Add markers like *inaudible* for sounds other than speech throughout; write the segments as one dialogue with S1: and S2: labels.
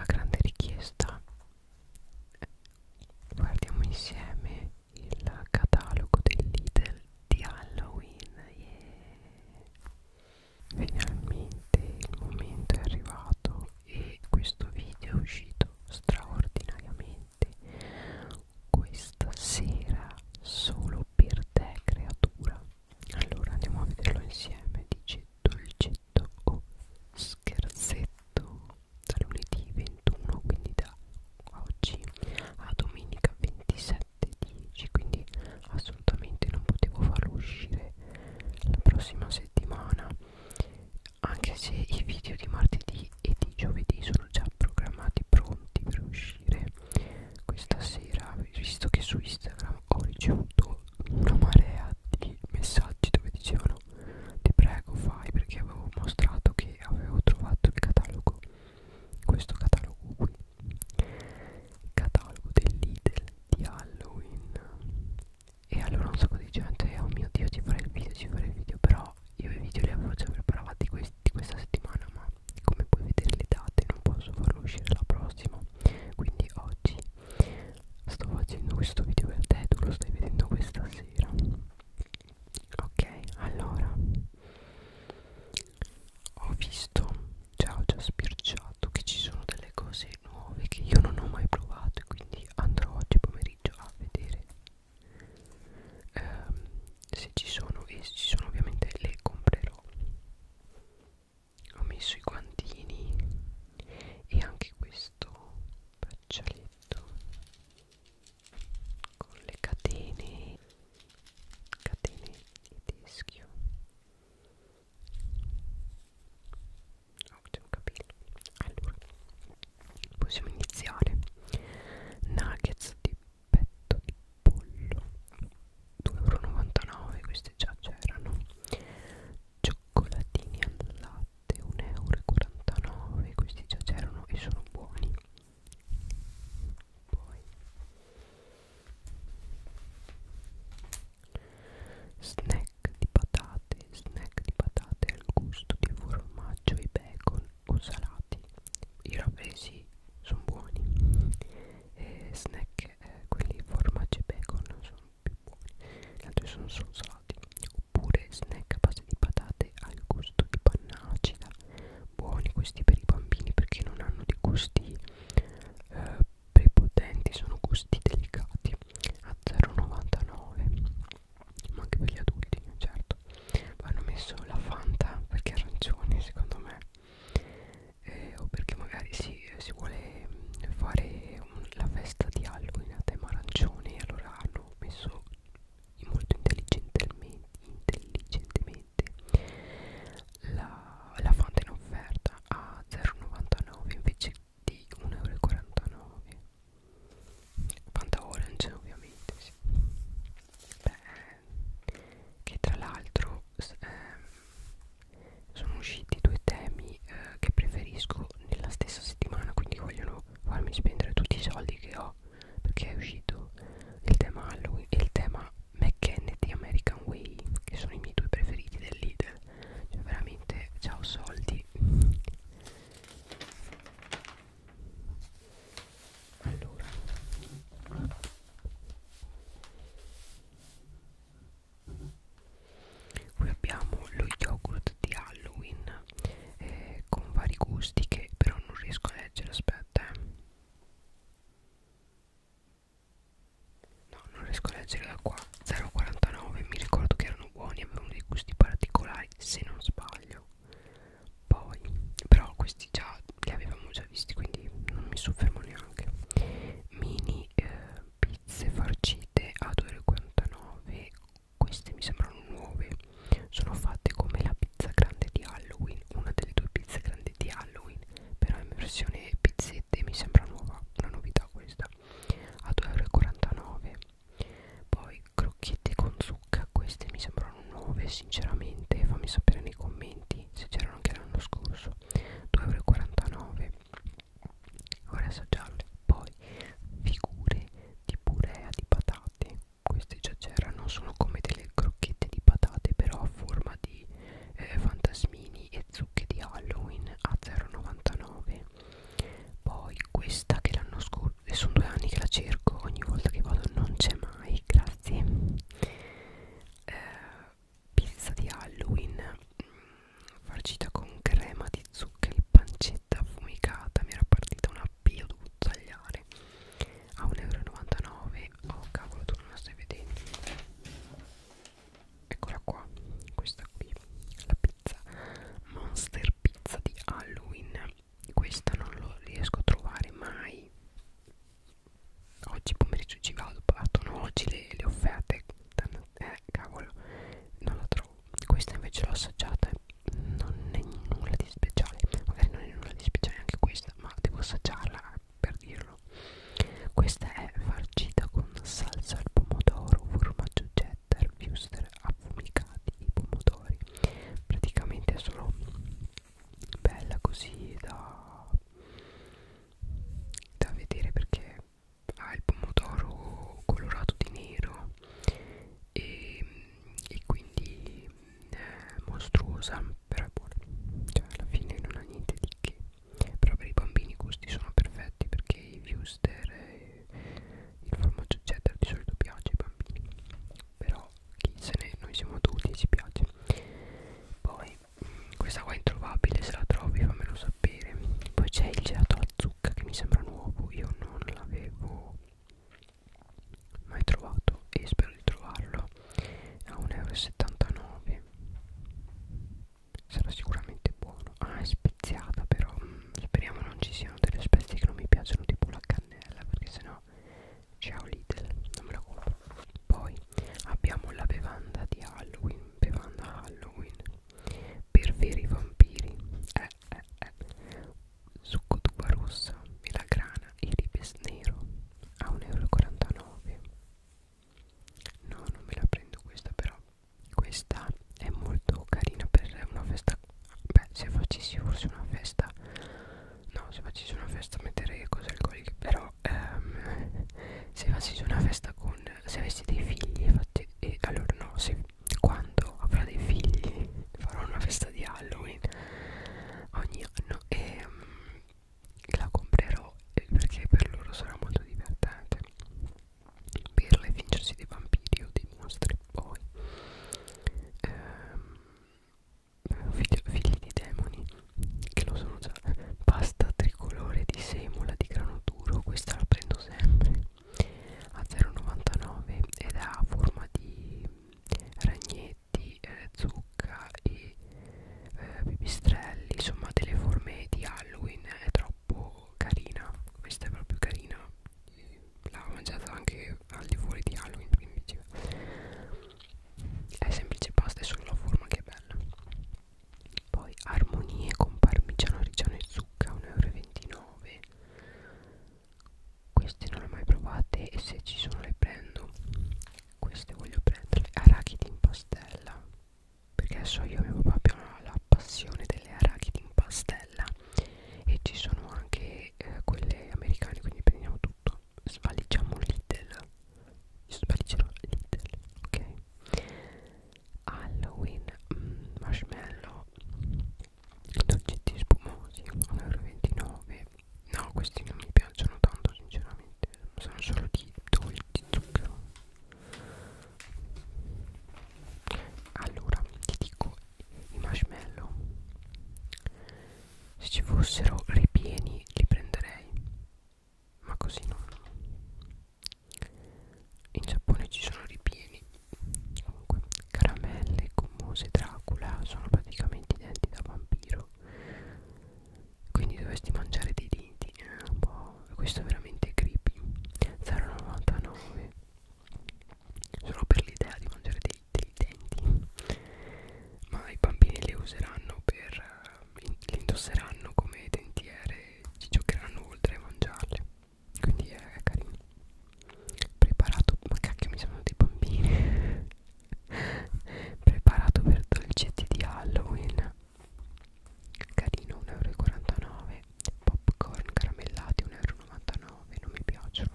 S1: a grande richiesta guardiamo insieme il catalogo del Lidl di Halloween yeah. finalmente il momento è arrivato e questo video è uscito straordinariamente questa sera solo per te creatura allora andiamo a vederlo insieme dice dolcetto o scherzetto da lunedì 21 quindi da oggi a domenica 27.10 quindi assolutamente non potevo farlo uscire la prossima settimana anche se i video di martedì e di giovedì sono già programmati pronti per uscire questa sera visto che su Instagram ho ricevuto una marea di messaggi dove dicevano ti prego fai perché avevo mostrato che avevo trovato il catalogo questo catalogo qui il catalogo dell'Idel di Halloween e allora un sacco di gente cioè, oh mio dio ci farei il video ci farei il video però io i video li avevo già preparati questi, questa settimana ma come puoi vedere le date non posso farlo uscire la prossima quindi oggi sto facendo questo video per te tu lo stai vedendo questa sera ok allora ho visto già ho già spirciato che ci sono delle cose nuove che io non ho mai provato e quindi andrò oggi pomeriggio a vedere ehm, se ci sono e se ci sono ovviamente le comprerò ho messo i guantini e anche questo braccialetto con le catene catene di teschio oh c'è un capello allora possiamo iniziare nuggets di petto di pollo 2,99€ questi già c'erano cioccolatini al latte 1,49€ questi già c'erano e sono buoni poi snack di patate snack di patate al gusto di formaggio e bacon o salati i ravesi sono buoni e snack eh, quelli formaggi e bacon sono più buoni gli altri sono solo salati oppure snack a base di patate al gusto di panna acida buoni questi per i bambini perché non hanno dei gusti eh, prepotenti sono gusti delicati a 0,99 ma anche per gli adulti certo hanno messo la fanta perché arancione secondo me eh, o perché magari si, si vuole mm, fare un, la festa di Halloween a tema arancione allora hanno messo molto intelligentemente, intelligentemente la, la fanta in offerta a 0,99 invece di 1,49 euro Fanta Orange ovviamente sì. Beh, che tra l'altro eh, sono usciti due temi eh, che preferisco nella stessa settimana quindi vogliono farmi spendere tutti i soldi che ho perché è uscito il tema Halloween e il tema McKennedy American Way che sono i miei due preferiti del Lidl cioè veramente ciao soldi allora qui abbiamo lo yogurt di Halloween eh, con vari gusti che però non riesco a leggere aspetta eh. no non riesco a leggere da qua 0,49 mi ricordo che erano buoni avevano dei gusti particolari se non sbaglio poi però questi già li avevamo già già visti quindi non mi soffermo neanche mini eh, pizze farcite a 2,49 queste mi sembrano nuove sono fatte come la pizza grande di Halloween una delle due pizze grandi di Halloween però in versione pizzette mi sembra nuova una novità questa a 2,49 poi crocchette con zucca queste mi sembrano nuove sinceramente fammi sapere nei commenti venerdì se c'erano anche l'anno scorso 2,49 vorrei assaggiarle poi figure di purea di patate queste già c'erano sono come delle crocchette di patate però a forma di eh, fantasmini e zucche di Halloween a 0,99 poi questa che l'anno scorso e eh, sono due anni che la cerco ogni volta che vado non c'è mai grazie eh, pizza di Halloween mh, mm, farcita con crema di zuccheri, pancetta affumicata, mi era partita una P, ho dovuto tagliare a 1,99 euro, oh cavolo tu non la stai vedendo eccola qua, questa qui, la pizza Monster Pizza di Halloween questa non lo riesco a trovare mai oggi pomeriggio ci vado partono oggi le, le offerte eh cavolo non la trovo questa invece l'ho assaggiata non è nulla di speciale magari non è nulla di speciale anche questa ma devo assaggiarla eh, per dirlo questa è farcita con salsa al pomodoro formaggio cheddar wuster affumicati i pomodori praticamente sono bella così da da vedere perché ha il pomodoro colorato di nero e, e quindi è eh, mostruosa però è buona cioè alla fine non ha niente di che però per i bambini i gusti sono perfetti perché i wuster il formaggio cheddar di solito piace ai bambini però chi se ne noi siamo tutti ci piace poi mm, questa qua è introvabile se la trovi fammelo sapere poi c'è il gelato alla zucca che mi sembra nuovo io non l'avevo mai trovato e spero di trovarlo a 1,79 euro sarà sicuramente buono ah è speziata però mm, speriamo non ci siano delle spezie che non mi piacciono tipo la cannella perché sennò ciao Lidl non me la compro poi abbiamo la bevanda di Halloween bevanda Halloween per veri vampiri eh, eh, eh. succo d'uva rossa melagrana e ribes nero a 1,49 euro no non me la prendo questa però questa è molto carina per una festa beh se facessi forse una festa No, se facessi una festa metterei cose alcoliche Però ehm, *laughs* se facessi una festa con Se avessi dei figli fatti, e, Allora no, se, quando avrò dei figli *laughs* farò una festa di Halloween Ogni anno E ehm, la comprerò eh, perché per loro sarà molto divertente Birla e fingersi dei vampiri o dei mostri Poi ehm, figli, figli di demoni che lo sono già pasta tricolore di semola di grano duro questa la prendo sempre a 0,99 ed ha forma di ragnetti eh, zucca e eh, pipistrelli insomma delle forme di halloween è troppo carina questa è proprio carina l'ho mangiata anche anche al di fuori di Halloween è semplice pasta è solo la forma che è bella poi armonie con parmigiano reggiano e zucca 1,29 euro queste non le ho mai provate e se ci sono le prendo queste voglio prenderle arachidi in pastella perché adesso io e mio papà abbiamo la passione delle arachidi in pastella e ci sono anche eh, quelle americane quindi prendiamo tutto svaligiamo Lidl io svaligerò Lidl ok Halloween mm, marshmallow dolcetti spumosi 1,29 no questi non mi piacciono tanto sinceramente sono solo di dolci zucchero allora ti dico i marshmallow se ci fossero ripieni li prenderei ma così non in Giappone ci sono ripieni comunque caramelle gommose Dracula sono praticamente i denti da vampiro quindi dovresti mangiare dei denti eh, un po'. questo è veramente creepy 0,99 solo per l'idea di mangiare dei dei denti ma i bambini le useranno per eh, le indosseranno come dentiere ci giocheranno oltre a mangiarle quindi è carino preparato ma cacchio mi sono dei bambini *laughs* preparato per dolcetti di Halloween carino 1,49 euro popcorn caramellati 1,99 euro non mi piacciono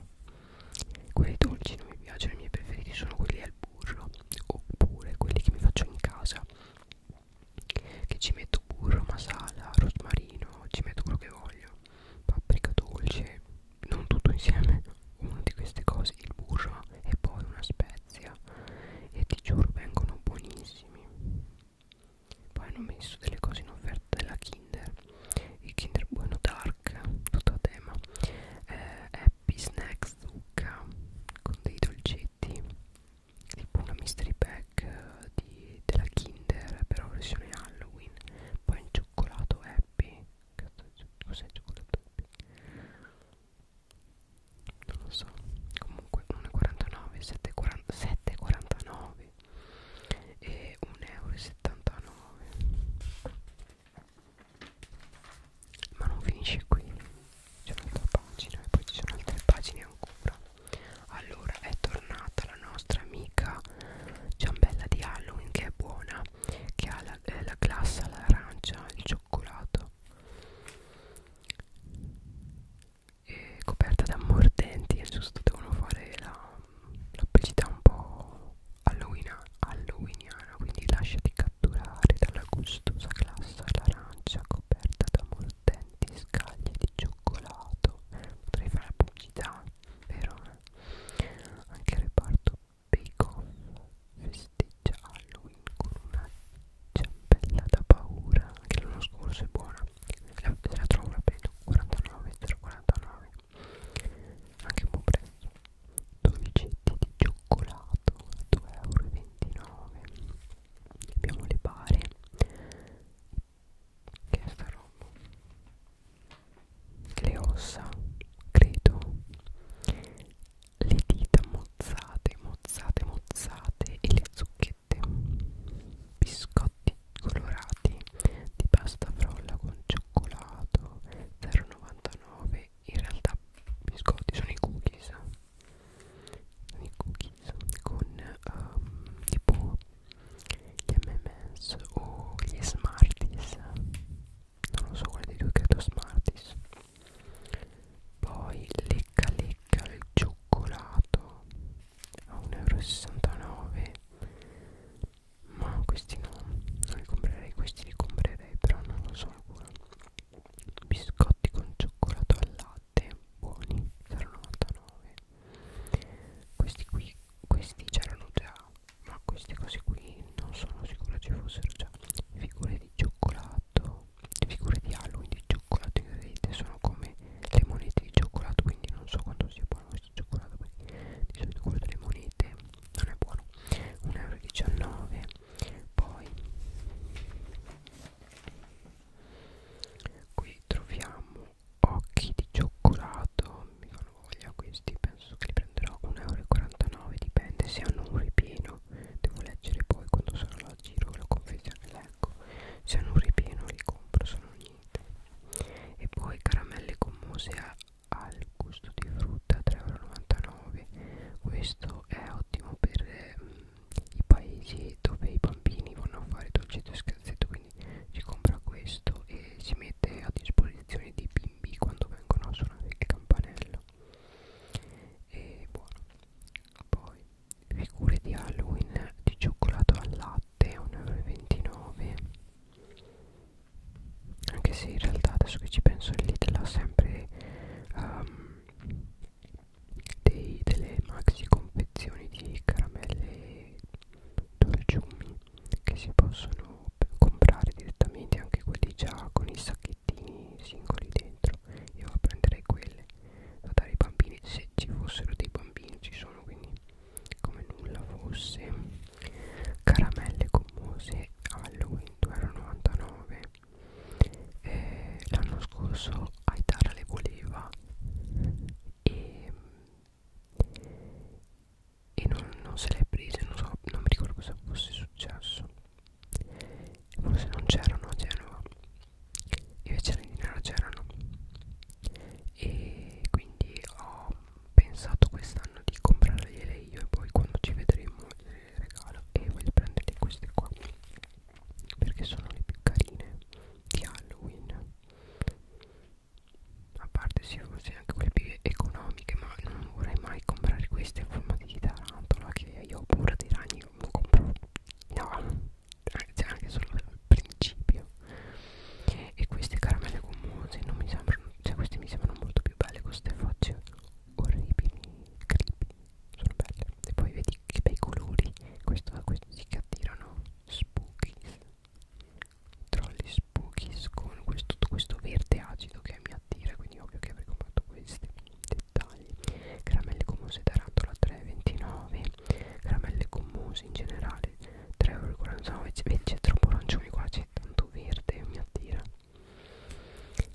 S1: quelli dolci non mi piacciono, i miei preferiti sono quelli al burro oppure quelli che mi faccio in casa che ci metto burro, masala, rosmarino, ci metto quello che voglio, paprika dolce, non tutto insieme, una di queste cose, il burro e poi una spezia e ti giuro vengono buonissimi. Poi hanno messo delle cose in offerta della Kinder i Kinder Bueno Dark tutto a tema eh, Happy Snack Zucca con dei dolcetti tipo una mystery pack eh, di, della Kinder però versione Halloween poi in cioccolato Happy cos'è il cioccolato Happy? non lo so comunque 1,49 7,49 e 1,79 euro ma non finisce qui c'è un'altra pagina e poi ci sono altre pagine ancora allora è tornata la nostra amica ciambella di Halloween che è buona che ha la, eh, la glassa, l'arancia, il cioccolato e coperta da mordenti è giusto devono fare la l'opacità un po' halloweeniana, halloweeniana quindi lasciati catturare dalla gustosa glassa all'arancia coperta da mordenti scaglie di cioccolato potrei fare la pubblicità vero? anche il reparto Bake Off festeggia Halloween con una ciambella da paura anche l'anno scorso è buona la, la trovo la prendo 49,49 49 anche un buon prezzo dolcetti di cioccolato 2,29 euro abbiamo le bare che è sta roba le ossa credo le dita mozzate mozzate mozzate e le zucchette biscotti colorati di pasta frolla con cioccolato 0,99 in realtà biscotti sono i cookies i cookies con um, tipo gli M&M's o gli Smarties non lo so quale dei due credo Smarties poi lecca lecca al cioccolato a 1,69 euro ma questi no non li comprerei questi li comprerei però non lo so ancora biscotti con cioccolato al latte buoni 0,99 questi qui questi c'erano già ma queste cose qui non sono sicura ci fossero già figure di cioccolato le figure di Halloween di cioccolato vedete sono come le monete di cioccolato quindi non so quanto sia buono questo cioccolato perché di solito quello delle monete non è buono 1,19 euro poi qui troviamo occhi di cioccolato mi fanno voglia questi penso che li prenderò 1,49 euro dipende se hanno un ripieno devo leggere poi quando sarò la giro la confezione leggo se hanno un ripieno li compro se non niente e poi caramelle con mousse ha il gusto di frutta 3,99 euro questo è ottimo per eh, i paesi dove i bambini vanno a fare dolcetto e scherzetto quindi si compra questo e si mette a disposizione dei bimbi quando vengono a suonare il campanello e buono poi figure di Halloween di cioccolato al latte 1,29 euro anche se in realtà adesso che ci penso il Lidl ha sempre um, dei, delle maxi confezioni di caramelle dolciumi che si possono comprare direttamente anche quelli già con i sacchettini singoli dentro io prenderei quelle da dare ai bambini se ci fossero dei bambini ci sono quindi come nulla fosse caramelle gommose Halloween 2,99 eh, l'anno scorso Aitara le voleva e, e non, non se le prese non, so, non mi ricordo cosa fosse successo forse non c'erano a Genova invece a Dinara c'erano e quindi ho pensato quest'anno di comprargliele io e poi quando ci vedremo le regalo e voglio prenderle queste qua perché sono le più carine di Halloween a parte sì forse anche quelle più economiche ma non vorrei mai comprare queste a forma di tarantola che io ho paura dei ragni non compro no c'è anche solo il principio e queste caramelle gommose non mi sembrano cioè queste mi sembrano molto più belle con queste facce orribili creepy sono belle e poi vedi che bei colori questo questi che attirano spookies trolli spookies con questo, questo verde acido che mi attira quindi ovvio che avrei comprato questi dettagli caramelle gommose da rantola 3,29 caramelle gommose in generale verde 3,49 vedi c'è troppo arancione qua c'è tanto verde mi attira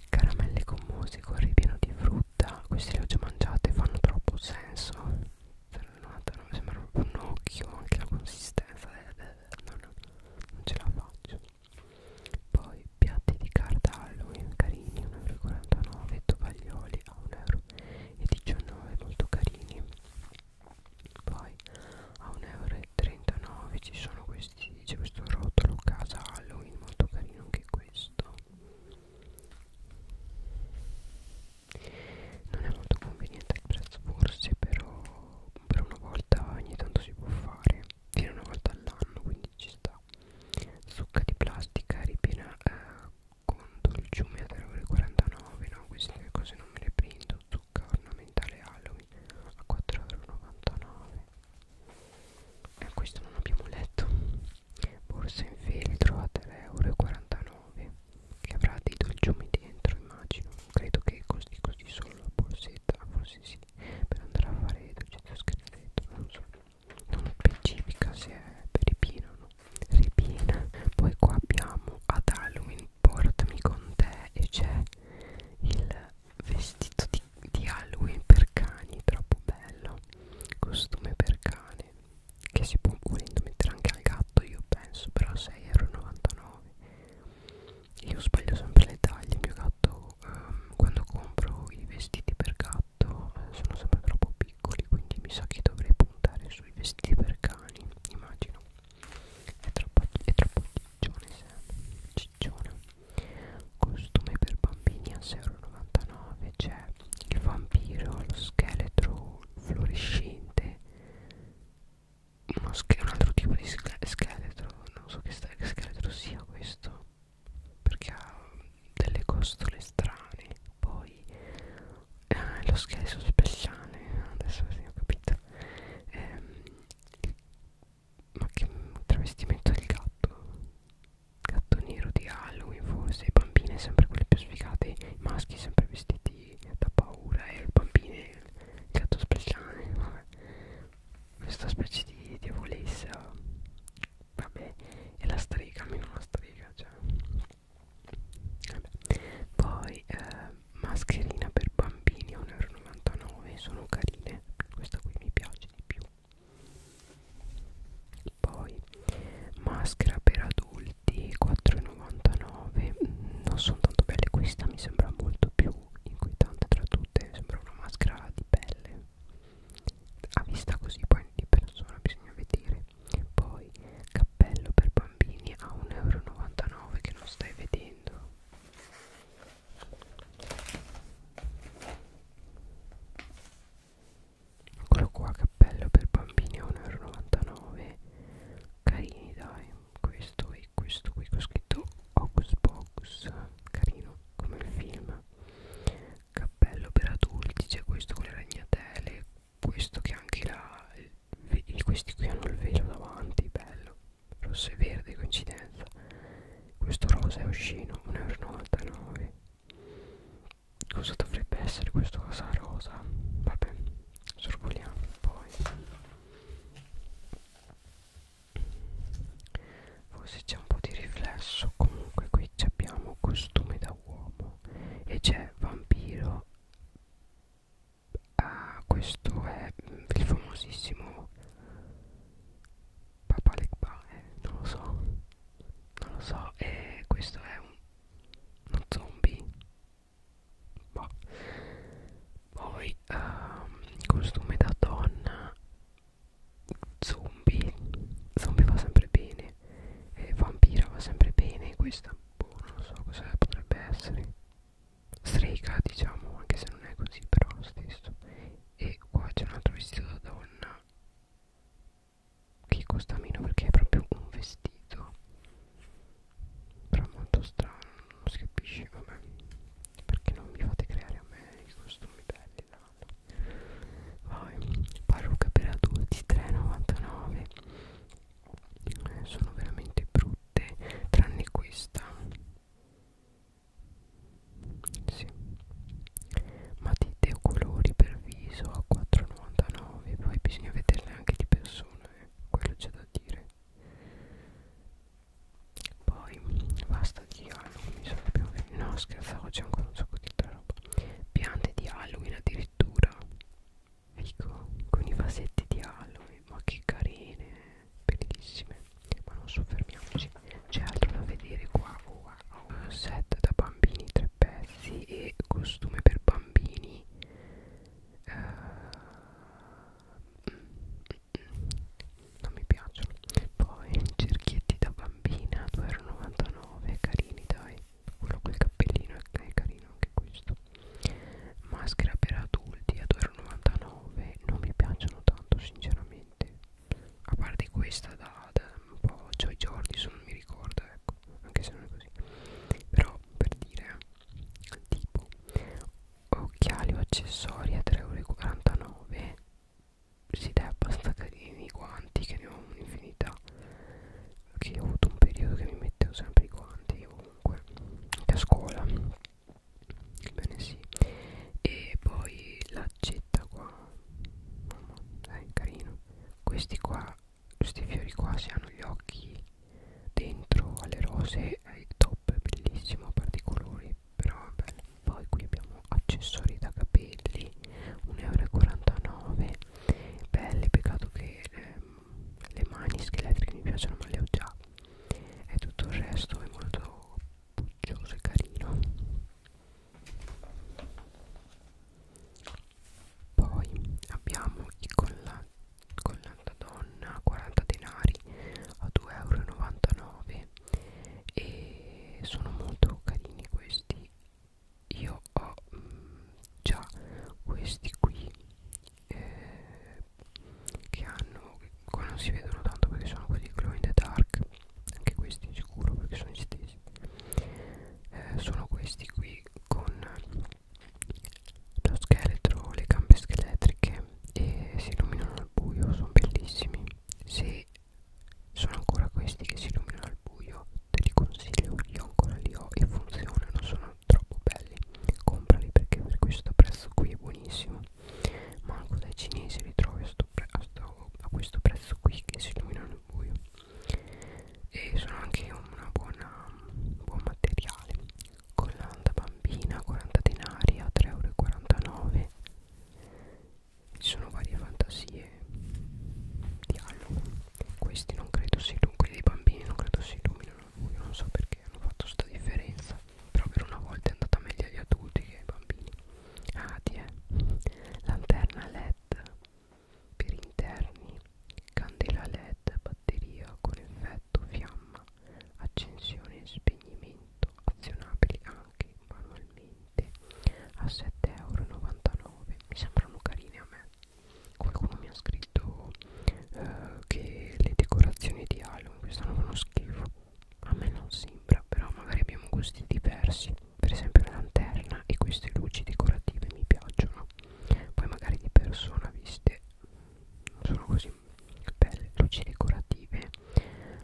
S1: caramelle gommose con ripieno di frutta queste le ho già mangiate fanno troppo senso 0,99 cioè, sembra proprio un occhio anche la consistenza eh, eh, eh, no, no, non ce la faccio poi piatti di carta Halloween carini 1,49 tovaglioli a 1 euro e 19 molto carini poi a 1,39 euro ci sono questi c'è questo rotolo casa Halloween molto carino anche questo non è molto conveniente il prezzo forse però per una volta ogni tanto si può fare viene una volta all'anno quindi ci sta zucca di plastica ripiena eh, conto il ciume a 3,49 no queste cose non me le prendo zucca ornamentale Halloween a 4,99 e eh, questo non abbiamo letto borsa in feltro a 3,49 che avrà dei dolciumi dentro immagino credo che costi così solo la borsetta forse sì per andare a fare dolcetto scritto non so non specifica se è per i pino o no ripiena poi qua abbiamo ad Halloween portami con te e c'è il vestito di, di Halloween per cani troppo bello costume per cane che si può volendo mettere anche al gatto io penso però 6,99€ io sbaglio sempre le taglie il mio gatto ehm, quando compro i vestiti per gatto eh, sono sempre troppo piccoli piccoli quindi mi sa che dovrei puntare sui vestiti per cani immagino è troppo, è troppo ciccione ciccione costume per bambini a 6,99 c'è il vampiro lo scheletro fluorescente uno un altro tipo di scheletro non so che scheletro sia questo perché ha delle costole strane poi ah, lo scherzo speciale adesso sì, ho capito ehm, ma che travestimento del gatto gatto nero di Halloween forse bambine sempre quelle più sfigate i maschi sempre vestiti da paura e le bambine il gatto speciale vabbè. questa specie di diavolessa vabbè e la strega almeno la strega cioè Vabbè. Poi eh, mascherina per bambini 1,99€ sono carine, questa qui mi piace di più. Poi maschera per adulti 4,99 mm, non sono tanto belle, questa mi sembra molto più inquietante tra tutte, sembra una maschera di pelle. A vista così poi di persona bisogna vedere poi cappello per bambini a 1,99 euro che non stai vedendo eccolo qua cappello per bambini a 1,99 euro carini dai questo e questo qui che ho scritto Hocus Pocus carino come il film cappello per adulti c'è questo con le ragnatele questo che anche la questi qui hanno il velo davanti bello rosso e verde coincidenza questo rosa è uscino 1,99 euro cosa dovrebbe essere questo cosa rosa vabbè sorvoliamo poi forse c'è un po' di riflesso comunque qui abbiamo costume da uomo e c'è vampiro ah, questo è il famosissimo Papa Legba eh, non lo so non lo so e eh, questo è un, un zombie boh. poi um, costume da donna zombie zombie va sempre bene eh, vampira va sempre bene questa boh, non so cosa potrebbe essere strega diciamo anche se non è così però lo stesso e qua c'è un altro vestito da donna che costa meno perché è proprio un vestito però molto strano non si capisce vabbè perché non mi fate creare a me i costumi belli là. poi parrucca per adulti 3,99 sono veramente brutte tranne questa sì. matite o colori per viso a 4,99 poi bisogna vederle anche di persona eh. quello c'è da dire poi basta di Halloween mi sono più no scherzavo c'è ancora un sacco di altra roba piante di Halloween addirittura Fico ecco, con i vasetti di Halloween, ma che carine, bellissime. Ma non soffermiamoci, c'è altro da vedere qua. Wow. Set da bambini, tre pezzi e costume per bambini. Uh, non mi piacciono. Poi cerchietti da bambina, 2,99 euro. Carini, dai quello col cappellino è carino anche questo maschera per adulti a 2,99 non mi piacciono tanto sinceramente a parte questa da, da un po' Joy Jordison non mi ricordo ecco anche se non è così però per dire tipo occhiali o accessori a 3,49 si dà abbastanza carini i guanti che ne ho un'infinità che ho avuto un periodo che mi mettevo sempre i guanti ovunque anche a scuola bene sì e poi l'accetta qua mamma dai eh, carino questi qua questi fiori qua si hanno gli occhi dentro alle rose è il top bellissimo a parte i colori però vabbè poi qui abbiamo accessori da capelli 1,49 euro belle peccato che eh, le mani scheletriche mi piacciono ma le ho già e tutto il resto è molto puccioso e carino poi abbiamo i collati con donna 40 denari a 2,99 euro e sono molto carini questi io ho mh, mm, già questi qui eh, che hanno qua non si vedono tanto perché sono quelli glow in the dark anche questi sicuro perché sono gli stessi eh, sono questi qui con lo scheletro le gambe scheletriche e si illuminano al buio sono bellissimi se sono ancora questi che si illuminano al buio te li consiglio io ancora li ho e funzionano sono troppo belli comprali perché per questo prezzo qui è buonissimo manco dai cinesi li trovi a, sto a, sto a questo prezzo qui che si illuminano al buio e sono anche una buona buon materiale collanda bambina 40 denari a 3,49 euro ci sono varie fantasie di Halloween questi non credo si illuminino quelli dei bambini non credo si illuminino io non so perché hanno fatto sta differenza però per una volta è andata meglio agli adulti che ai bambini ah eh. ti è lanterna led per interni candela led batteria con effetto fiamma accensione e spegnimento azionabili anche manualmente a 7,99 euro mi sembrano carine a me qualcuno mi ha scritto eh, che le decorazioni di Halloween quest'anno fanno schifo a me non sembra però magari abbiamo gusti diversi per esempio la lanterna e queste luci decorative mi piacciono poi magari di persona viste non sono così belle luci decorative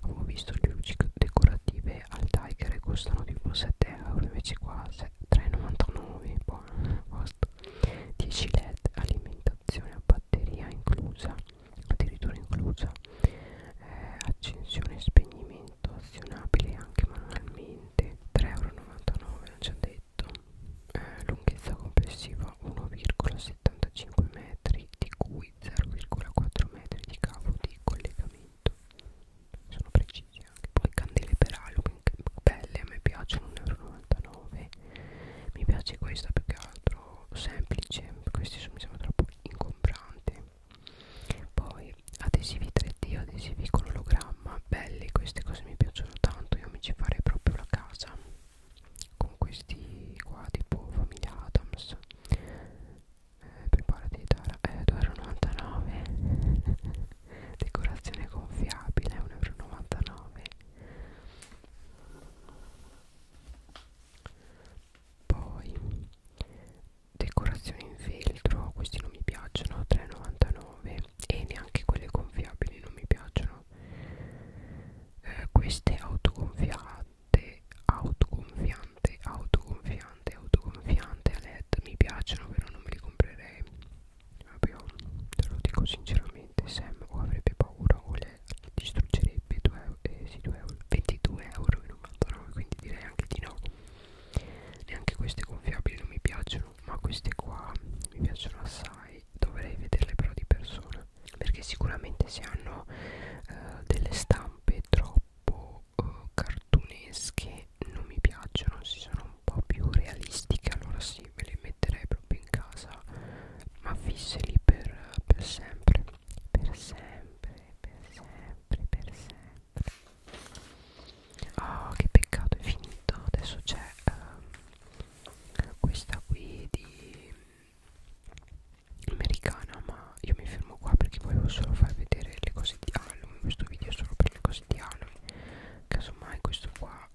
S1: avevo visto le luci decorative alternative al Tiger e costano tipo 7 euro invece qua 3,99 buono costo 10 led alimentazione a batteria inclusa addirittura inclusa eh, accensione e spegnimento azionabile anche manualmente 3,99 euro non ci ha detto eh, lunghezza complessiva 1,75 metri di cui 0,4 metri di cavo di collegamento tutto sono precisi anche poi candele per Halloween che belle a me piacciono 1,99 euro mi piace questa più che altro semplice questi sono, mi sembra troppo incombranti poi adesivi 3D adesivi con ologramma belli queste cose mi piacciono tanto io mi ci farei proprio la casa con questi qua tipo famiglia Adams eh, preparati da eh, 2,99 decorazione gonfiabile 1,99 poi decorazioni in feltro questi non mi piacciono 3,99 e neanche quelle gonfiabili non mi piacciono eh, queste autogonfiate autogonfianti autoconfiante autoconfiante autoconfiante a led mi piacciono però non me li comprerei vabbè te lo dico sinceramente Sam o avrebbe paura o le distruggerebbe 2 euro, eh, sì, 2 euro, 22 euro 99, quindi direi anche di no neanche queste gonfiabili non mi piacciono ma queste qua mi piacciono assai dovrei vederle però di persona perché sicuramente se hanno eh, delle stampe troppo uh, cartunesche non mi piacciono si sono un po' più realistiche allora sì me le metterei proprio in casa ma fisse lì per, per sempre per sempre per sempre per sempre oh che peccato è finito adesso c'è uh, questa qui di americana ma io mi fermo qua perché volevo solo far vedere le cose di Halloween questo video è solo per le cose di Halloween casomai questo qua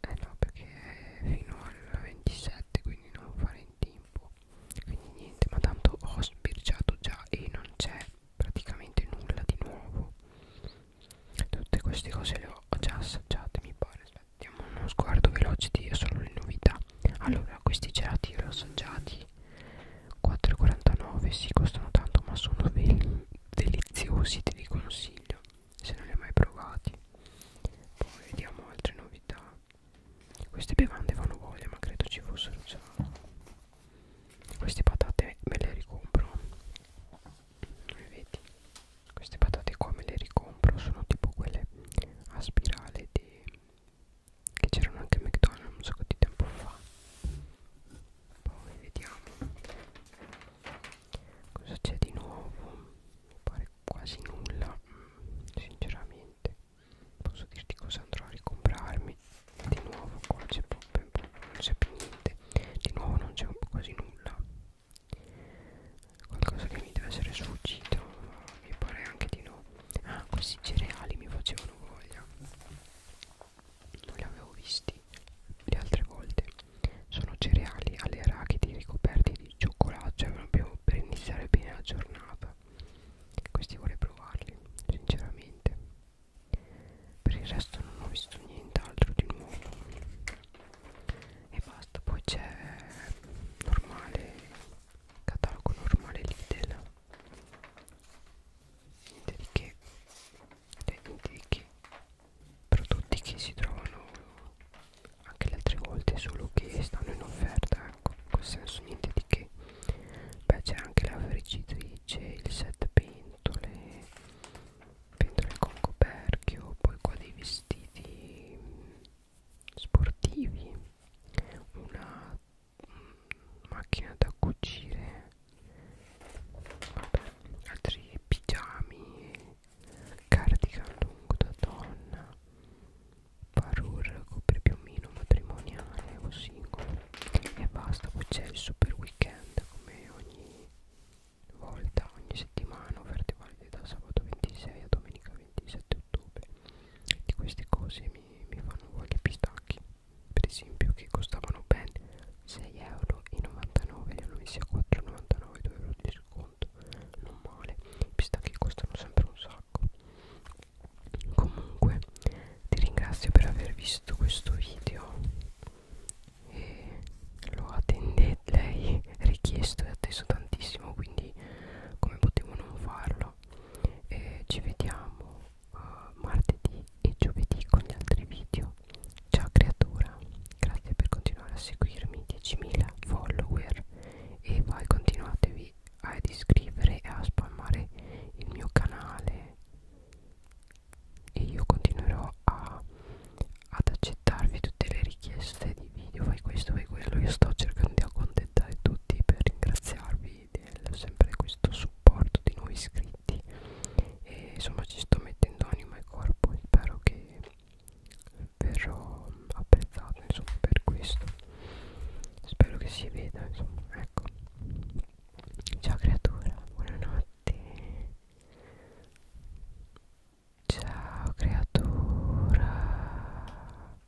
S1: eh no perché è fino al 27 quindi non fare in tempo quindi niente ma tanto ho sbirciato già e non c'è praticamente nulla di nuovo tutte queste cose le ho già assaggiate mi pare aspettiamo uno sguardo veloce di solo le novità allora questi gelati li ho assaggiati 4,49 si sì, costano tanto ma sono deliziosi te li consiglio se non li hai mai provati poi vediamo altre novità queste bevande vanno voglia ma credo ci fossero già queste patate me le ricompro come vedi queste patate qua me le ricompro sono tipo quelle a spirale di che c'erano anche McDonald's un sacco di tempo fa poi vediamo cosa c'è di nuovo mi pare quasi nulla mm, sinceramente posso dirti cosa andrò a ricomprarmi di nuovo qua c'è proprio non c'è più niente di nuovo non c'è quasi nulla qualcosa che mi deve essere sfuggito mi pare anche di no ah questi cereali mi facevano voglia non li avevo visti le altre volte sono cereali alle arachidi ricoperti di cioccolato cioè proprio per iniziare bene la giornata questi vorrei provarli sinceramente per il resto non ho visto nient'altro di nuovo e basta poi c'è normale catalogo normale Lidl niente di che cioè, niente di che prodotti che si trovano anche le altre volte solo che stanno in offerta ecco in quel senso niente di che beh c'è anche la friggitrice il set pentole pentole con coperchio poi qua dei vestiti sportivi una macchina da cucire vabbè, altri pigiami cardigan lungo da donna parure copripiumino matrimoniale o singolo e basta poi c'è il super weekend come ogni volta ogni settimana offerte valide da sabato 26 a domenica 27 ottobre di queste cose mi, mi fanno voglia i pistacchi per esempio che costavano ben 6,99€ li hanno messi a 4,99 euro di sconto non male i pistacchi costano sempre un sacco comunque ti ringrazio per aver visto questo video e lo attendete lei *laughs* richiesto e atteso tantissimo quindi come potevo non farlo allora eh, ci vediamo uh, martedì e giovedì con gli altri video ciao creatura grazie per continuare a seguirmi 10.000 follower e vai continuatevi ad iscrivere e a spammare il mio canale e io continuerò a, ad accettarvi tutte le richieste di video fai questo fai quello io sto cercando di accontentare tutti per ringraziarvi voi del sempre questo supporto di nuovi iscritti e insomma ci sto mettendo anima e corpo e spero che verrò apprezzato insomma per questo spero che si veda insomma ecco ciao creatura buonanotte ciao creatura